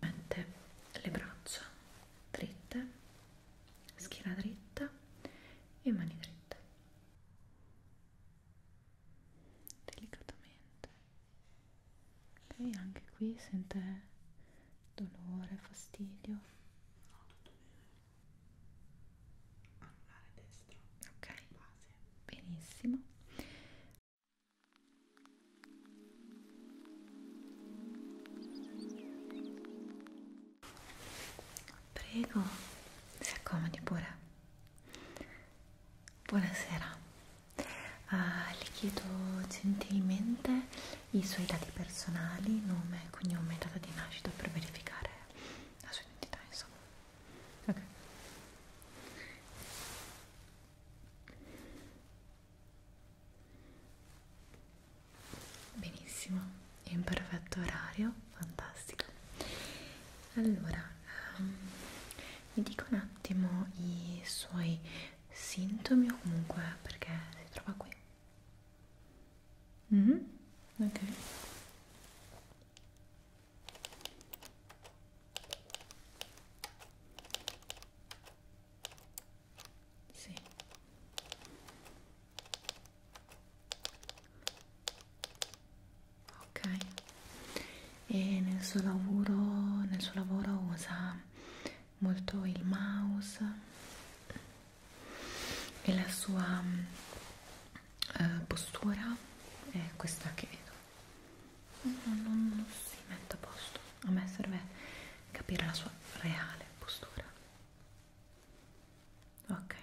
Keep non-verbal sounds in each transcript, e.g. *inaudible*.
mette le braccia dritte schiena dritta e mani dritte delicatamente ok anche qui sente dolore fastidio no tutto bene anulare destro ok base base benissimo prego si accomodi pure buonasera ah, le chiedo gentilmente i suoi dati personali nome, cognome e data di nascita per verificare la sua identità insomma Okay. Benissimo, è in perfetto orario, fantastico. Allora, um, mi dico un attimo i suoi sintomi o comunque perché si trova qui. Mm -hmm. Ok. Sì. Ok. E nel suo lavoro, nel suo lavoro usa molto il mouse e la sua eh, postura è questa che vedo non, non, non si mette a posto a me serve capire la sua reale postura ok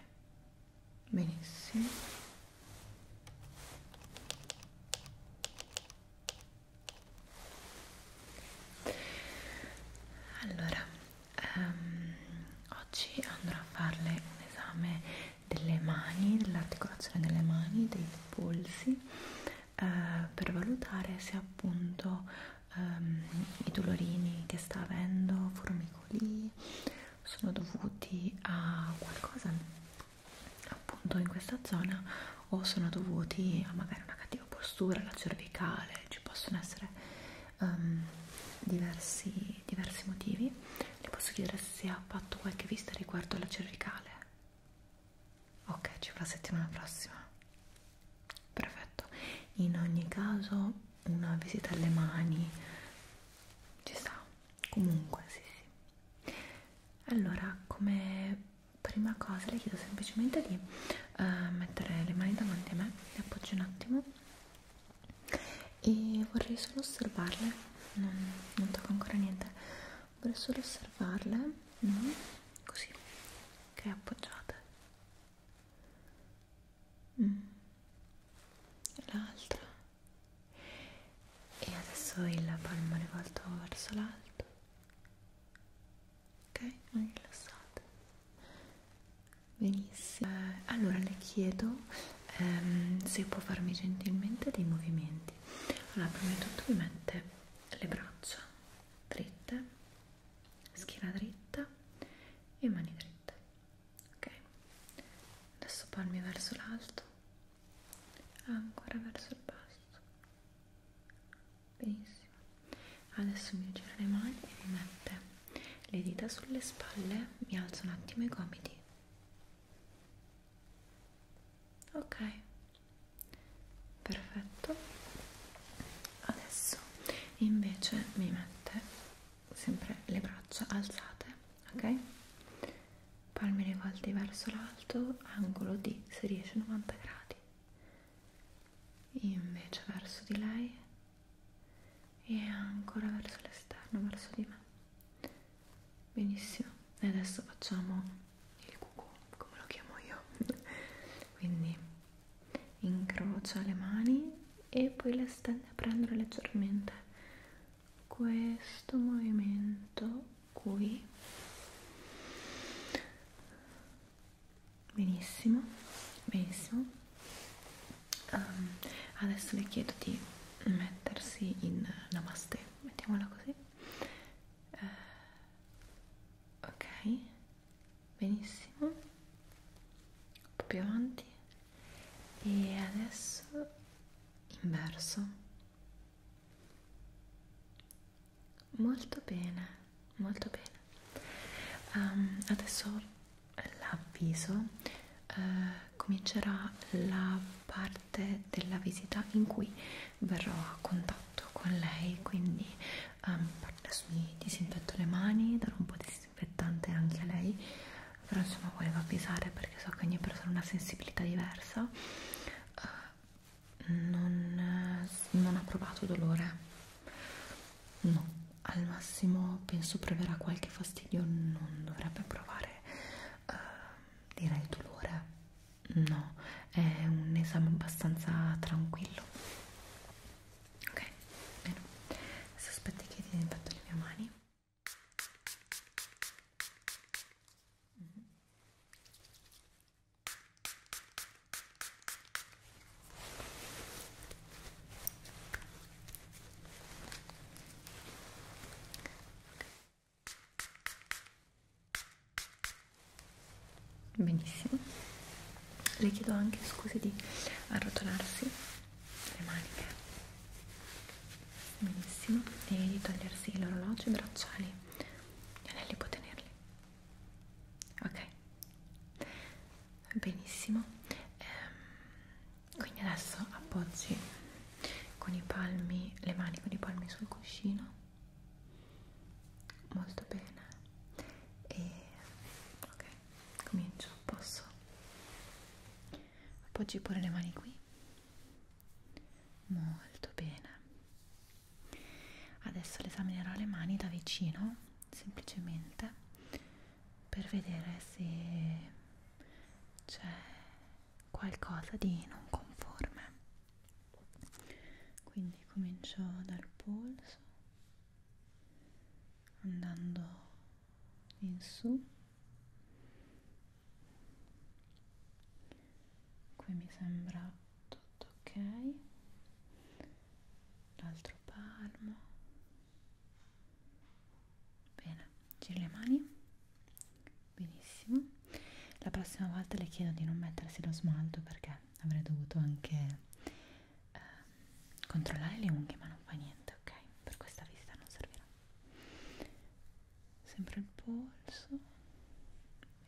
benissimo allora um, oggi andrò a farle un esame delle mani, dell'articolazione delle mani, dei polsi eh, per valutare se appunto ehm, i dolorini che sta avendo, formicoli, sono dovuti a qualcosa appunto in questa zona o sono dovuti a magari una cattiva postura, la cervicale, ci possono essere um, diversi di diversi motivi, le posso chiedere se ha fatto qualche vista riguardo alla cervicale. Ok, ci fa la settimana prossima. Perfetto. In ogni caso, una visita alle mani ci sta. Comunque, sì, sì. Allora, come prima cosa le chiedo semplicemente di uh, mettere le mani davanti a me, le appoggio un attimo e vorrei solo osservarle non, non tocco ancora niente vorrei solo osservarle no? così che appoggiate mm. l'altra e adesso il palmo rivolto verso l'alto ok? non rilassate benissimo eh, allora le chiedo ehm, se può farmi gentilmente dei movimenti allora prima di tutto mi mette le braccia dritte schiena dritta e mani dritte ok adesso palmi verso l'alto ancora verso il basso benissimo adesso mi gira le mani e mi mette le dita sulle spalle mi alzo un attimo i gomiti ok perfetto adesso invece mi mette sempre le braccia alzate ok palme rivolte verso l'alto angolo di se riesce 90 gradi invece verso di lei e ancora verso l'esterno, verso di me. Benissimo, e adesso facciamo il cucù, come lo chiamo io. *laughs* Quindi incrocia le mani e poi le stende a prendere leggermente questo movimento qui. Benissimo, benissimo. Um, adesso le chiedo di mettersi in namaste, mettiamola così. Uh, ok, benissimo. Un po' più avanti. E adesso inverso. Molto bene, molto bene. Um, adesso l'avviso eh, comincerà la parte della visita in cui verrò a contatto con lei quindi ehm, adesso mi disinfetto le mani darò un po' di disinfettante anche a lei però insomma volevo avvisare perché so che ogni persona ha una sensibilità diversa eh, non, eh, non ha provato dolore no al massimo penso proverà qualche fastidio non dovrebbe provare dare eh, direi dolore no è un esame abbastanza tranquillo ok bene adesso aspetti che disinfetto le mie mani benissimo le chiedo anche scusi di arrotolarsi le maniche benissimo e di togliersi l'orologio i bracciali gli anelli può tenerli ok benissimo ehm, quindi adesso appoggi con i palmi le mani con i palmi sul cuscino molto bene e ok comincio posso appoggi pure le mani qui molto bene adesso le esaminerò le mani da vicino semplicemente per vedere se c'è qualcosa di non conforme quindi comincio dal polso andando in su qui mi sembra tutto ok l'altro palmo bene, giri le mani benissimo la prossima volta le chiedo di non mettersi lo smalto perché avrei dovuto anche eh, controllare le unghie ma non fa niente, ok? per questa visita non servirà sempre il polso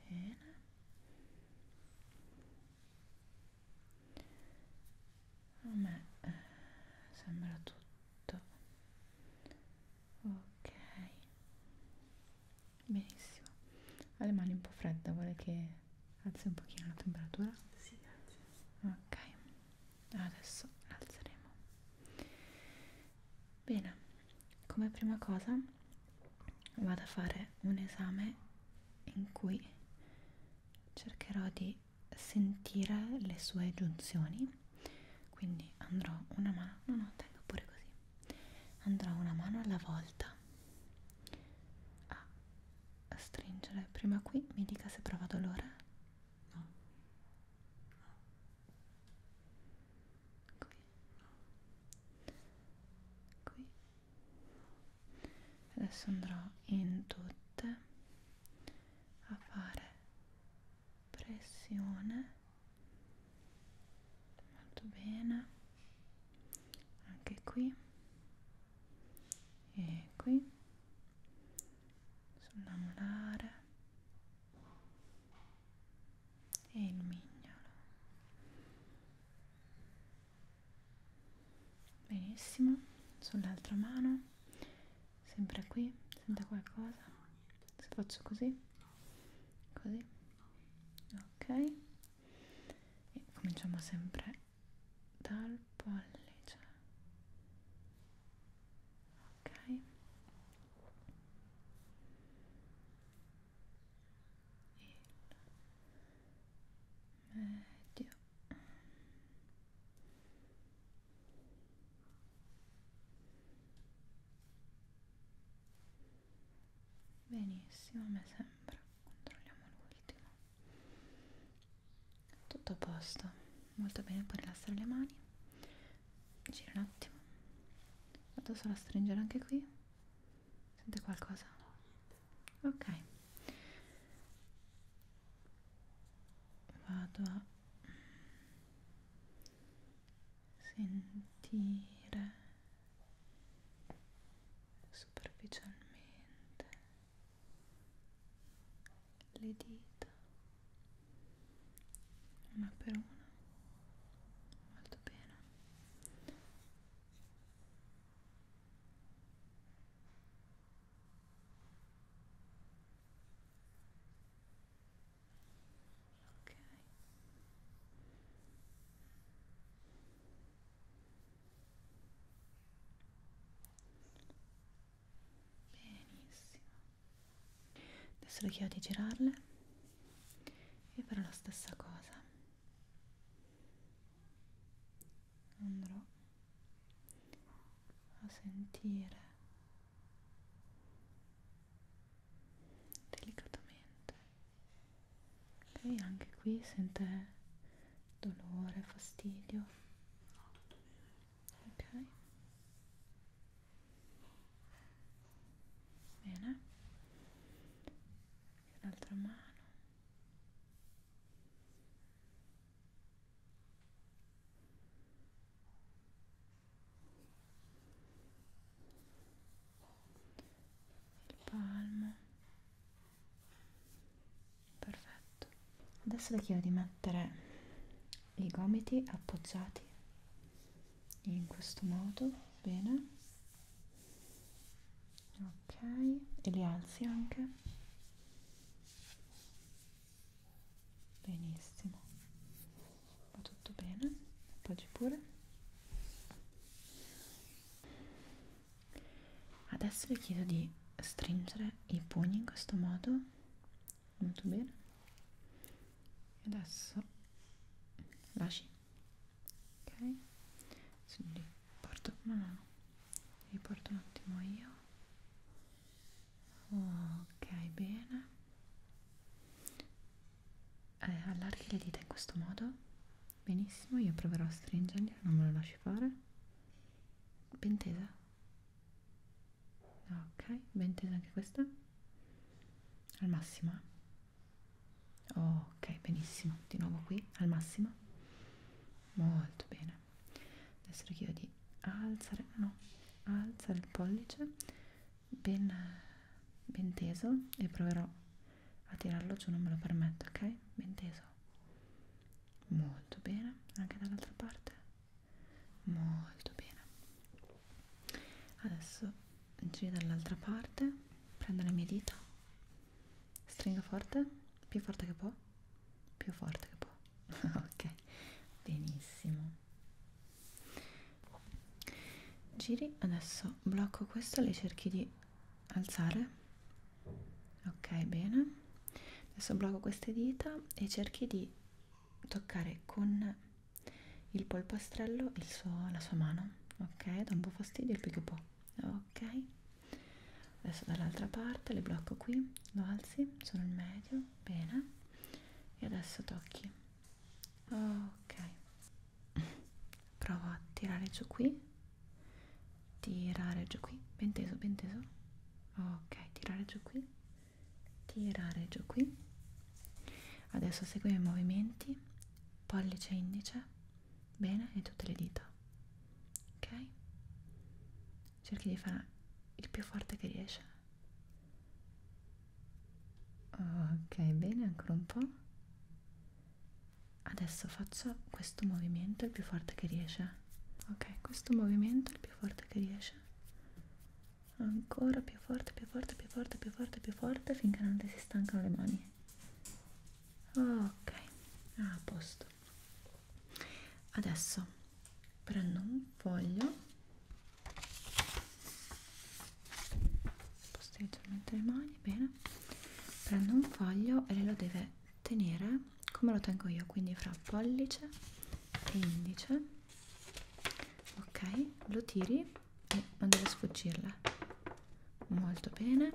bene a me eh, sembra tutto ok benissimo ha le mani un po' fredde vuole che alzi un pochino la temperatura? Sì, grazie ok adesso alzeremo bene come prima cosa vado a fare un esame in cui cercherò di sentire le sue giunzioni quindi andrò una mano no no tengo pure così andrò una mano alla volta a stringere prima qui mi dica se prova dolore no qui qui adesso andrò in tutte a fare pressione molto bene anche qui e qui sulla molare e il mignolo benissimo sull'altra mano sempre qui senta qualcosa se faccio così così ok e cominciamo sempre dal pollice ok il medio benissimo mi sembra controlliamo l'ultimo tutto a posto molto bene puoi rilassare le mani gira un attimo vado solo a stringere anche qui sente qualcosa ok vado a sentire superficialmente le dita una per una molto bene ok benissimo adesso le chiedo di girarle e farò la stessa cosa andrò a sentire delicatamente ok anche qui sente dolore fastidio no tutto bene ok bene l'altra mano il palmo perfetto adesso le chiedo di mettere i gomiti appoggiati in questo modo bene ok e li alzi anche benissimo va tutto bene appoggi pure adesso vi chiedo di stringere i pugni in questo modo molto bene e adesso lasci ok quindi porto una mano riporto un attimo io ok bene eh, allarghi le dita in questo modo benissimo io proverò a stringerle non me lo lasci fare ben tesa ok ben tesa anche questa al massimo ok benissimo di nuovo qui al massimo molto bene adesso richiedo di alzare, no, alzare il pollice ben, ben teso e proverò a tirarlo giù, non me lo permetto, ok? Ben teso, molto bene, anche dall'altra parte, molto bene. Adesso giro dall'altra parte, prendo le mie dita, stringo forte, più forte che può più forte che può *laughs* ok benissimo giri adesso blocco questo lei cerchi di alzare ok bene adesso blocco queste dita e cerchi di toccare con il polpastrello il suo, la sua mano ok da un po' fastidio il più che può ok adesso dall'altra parte le blocco qui lo alzi sono il medio bene e adesso tocchi ok *laughs* provo a tirare giù qui tirare giù qui ben teso ben teso ok tirare giù qui tirare giù qui adesso seguiamo i movimenti pollice e indice bene e tutte le dita ok cerchi di fare il più forte che riesci ok bene ancora un po' adesso faccio questo movimento il più forte che riesci ok questo movimento il più forte che riesci ancora più forte più forte più forte più forte più forte finché non ti si stancano le mani ok ah, a posto questo adesso prendo un foglio posso leggermente le mani bene prendo un foglio e lei lo deve tenere come lo tengo io quindi fra pollice e indice ok lo tiri e non deve sfuggirle molto bene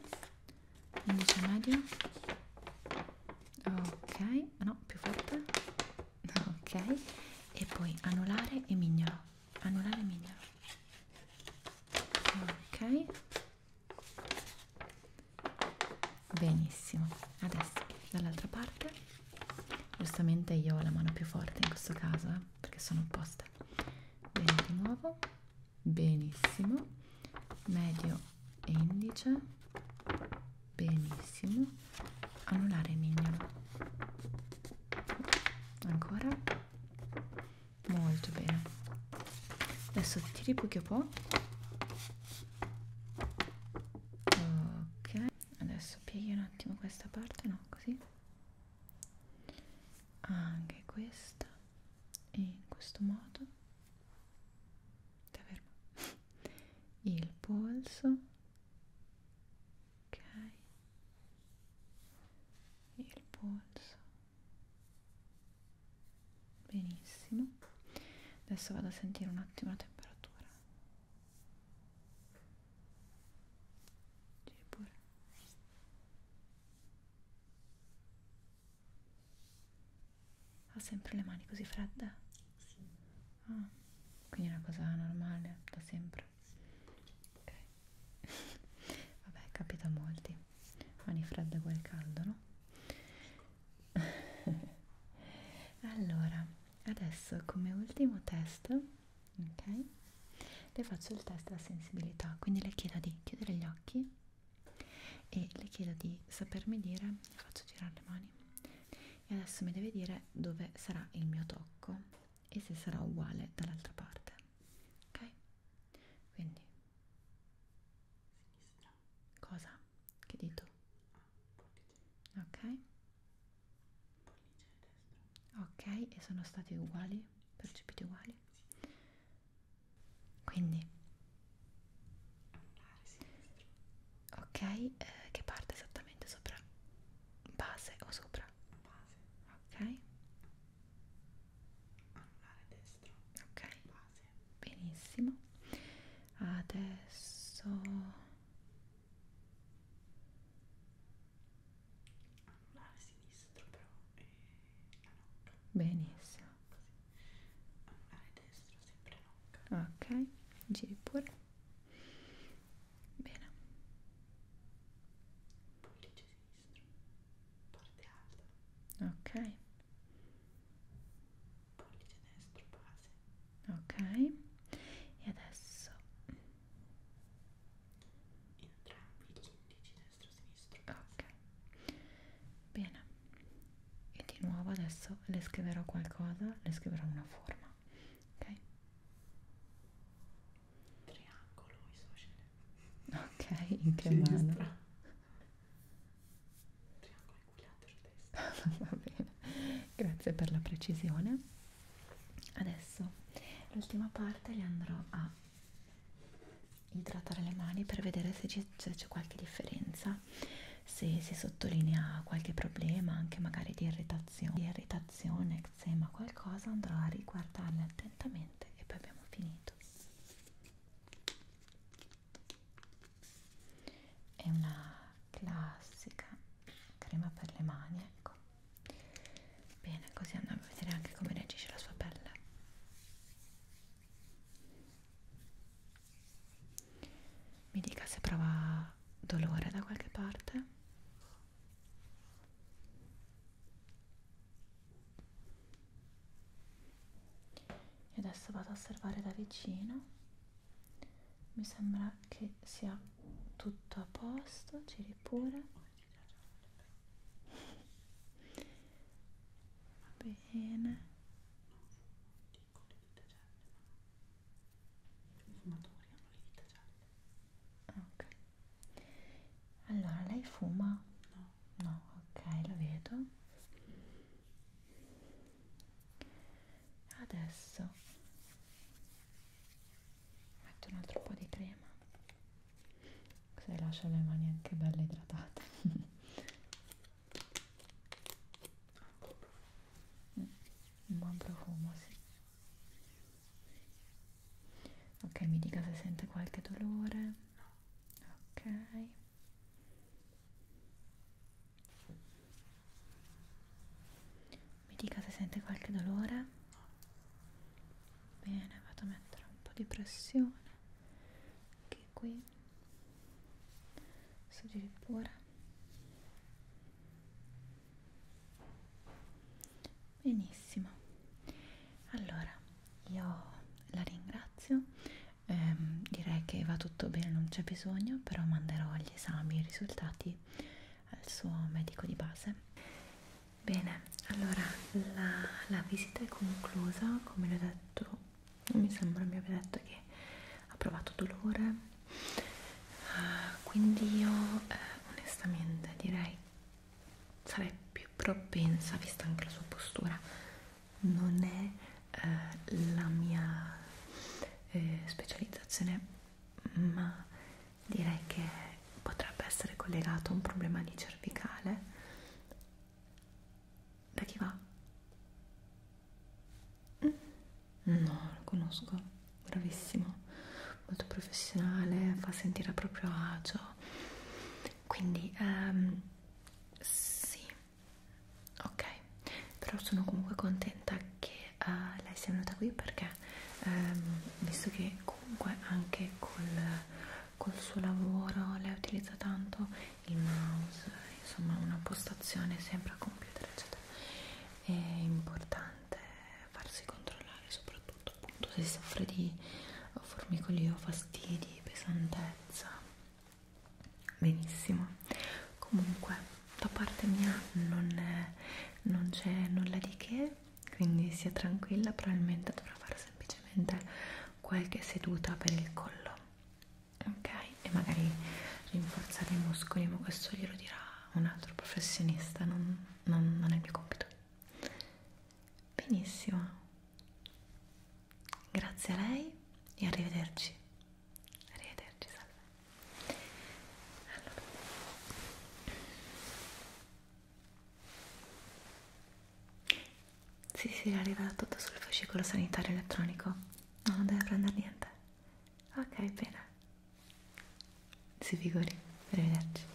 indice medio ok ok ah, no più forte ok e poi anulare e mignolo anulare e mignolo ok benissimo adesso dall'altra parte giustamente io ho la mano più forte in questo caso eh, perché sono opposta bene di nuovo benissimo medio e indice benissimo anulare mignolo ancora molto bene adesso tiri poco po' ok adesso pieghi un attimo questa parte no così anche questa e in questo modo Stai fermo. *laughs* Il polso. Ok. Il polso. Benissimo. Adesso vado a sentire un attimo la temperatura. Giri pure. Ha sempre le mani così fredde? Sì. Ah, quindi è una cosa normale, da sempre. Ok. *laughs* Vabbè, capita a molti. Mani fredde uguale caldo, no? *laughs* allora, adesso come ultimo test, ok? Le faccio il test della sensibilità, quindi le chiedo di chiudere gli occhi e le chiedo di sapermi dire, le faccio girare le mani, e adesso mi deve dire dove sarà il mio tocco e se sarà uguale dall'altra parte ok quindi sinistra cosa che dito ah, ok ok e sono stati uguali percepiti uguali quindi Ok, eh, che parte esattamente sopra base o sopra? Base. Ok. Anulare destro. Ok. Base. Benissimo. Adesso anulare sinistro però e la nocca. Benissimo. Così. Anulare destro, sempre no. Ok, giri pure. Bene. Pollice sinistro, parte alta. Ok. Pollice destro, base. Ok. E adesso entrambi gli indici destro e sinistro. Ok. Bene e di nuovo adesso le scriverò qualcosa, le scriverò una forma, ok? Triangolo isogene. Ok, in che Sinistra. mano? Triangolo equilatero destra. *laughs* Va bene, grazie per la precisione. Adesso l'ultima parte li andrò a idratare le mani per vedere se c'è qualche differenza se si sottolinea qualche problema, anche magari di irritazione, di irritazione, eczema, qualcosa, andrò a riguardarle attentamente e poi abbiamo finito. È una classica crema per le mani, ecco. Bene, così andiamo a vedere anche come reagisce la sua pelle mi dica se prova dolore da qualche parte e adesso vado a osservare da vicino mi sembra che sia tutto a posto giri pure va bene con le dita gialle, ma i fumatori hanno le dita gialle. Ok. Allora, lei fuma? No. No, ok, lo vedo. Adesso metto un altro po' di crema. Così lascio le mani anche belle idratate. *laughs* un buon profumo sì ok mi dica se sente qualche dolore ok mi dica se sente qualche dolore bene vado a mettere un po' di pressione anche qui Suggerire pure. Benissimo. Allora, io la ringrazio. Eh, direi che va tutto bene, non c'è bisogno, però manderò gli esami, i risultati al suo medico di base. Bene, allora la, la visita è conclusa, come l'ho detto mi sembra mi aveva detto che ha provato dolore uh, quindi io eh, onestamente direi sarei più propensa vista anche la sua postura non è eh, la mia eh, specializzazione ma direi che potrebbe essere collegato a un problema di cervicale da chi va? No, lo conosco, bravissimo, molto professionale, fa sentire a proprio agio. Quindi, um, sì, ok, però sono comunque contenta che uh, lei sia venuta qui perché, um, visto che comunque anche col, col suo lavoro lei utilizza tanto il mouse, insomma una postazione sempre a computer eccetera. È importante farsi controllare soprattutto appunto se soffre di formicolio, fastidi, pesantezza. Benissimo. Comunque da parte mia non c'è nulla di che, quindi sia tranquilla, probabilmente dovrà fare semplicemente qualche seduta per il collo ok e magari rinforzare i muscoli ma questo glielo dirà un altro professionista non, non, non è il mio compito benissimo grazie a lei e arrivederci arrivederci salve allora. Sì, sì, è arrivato tutto sul fascicolo sanitario elettronico. No, non deve prendere niente. Ok, bene. Si figuri, arrivederci.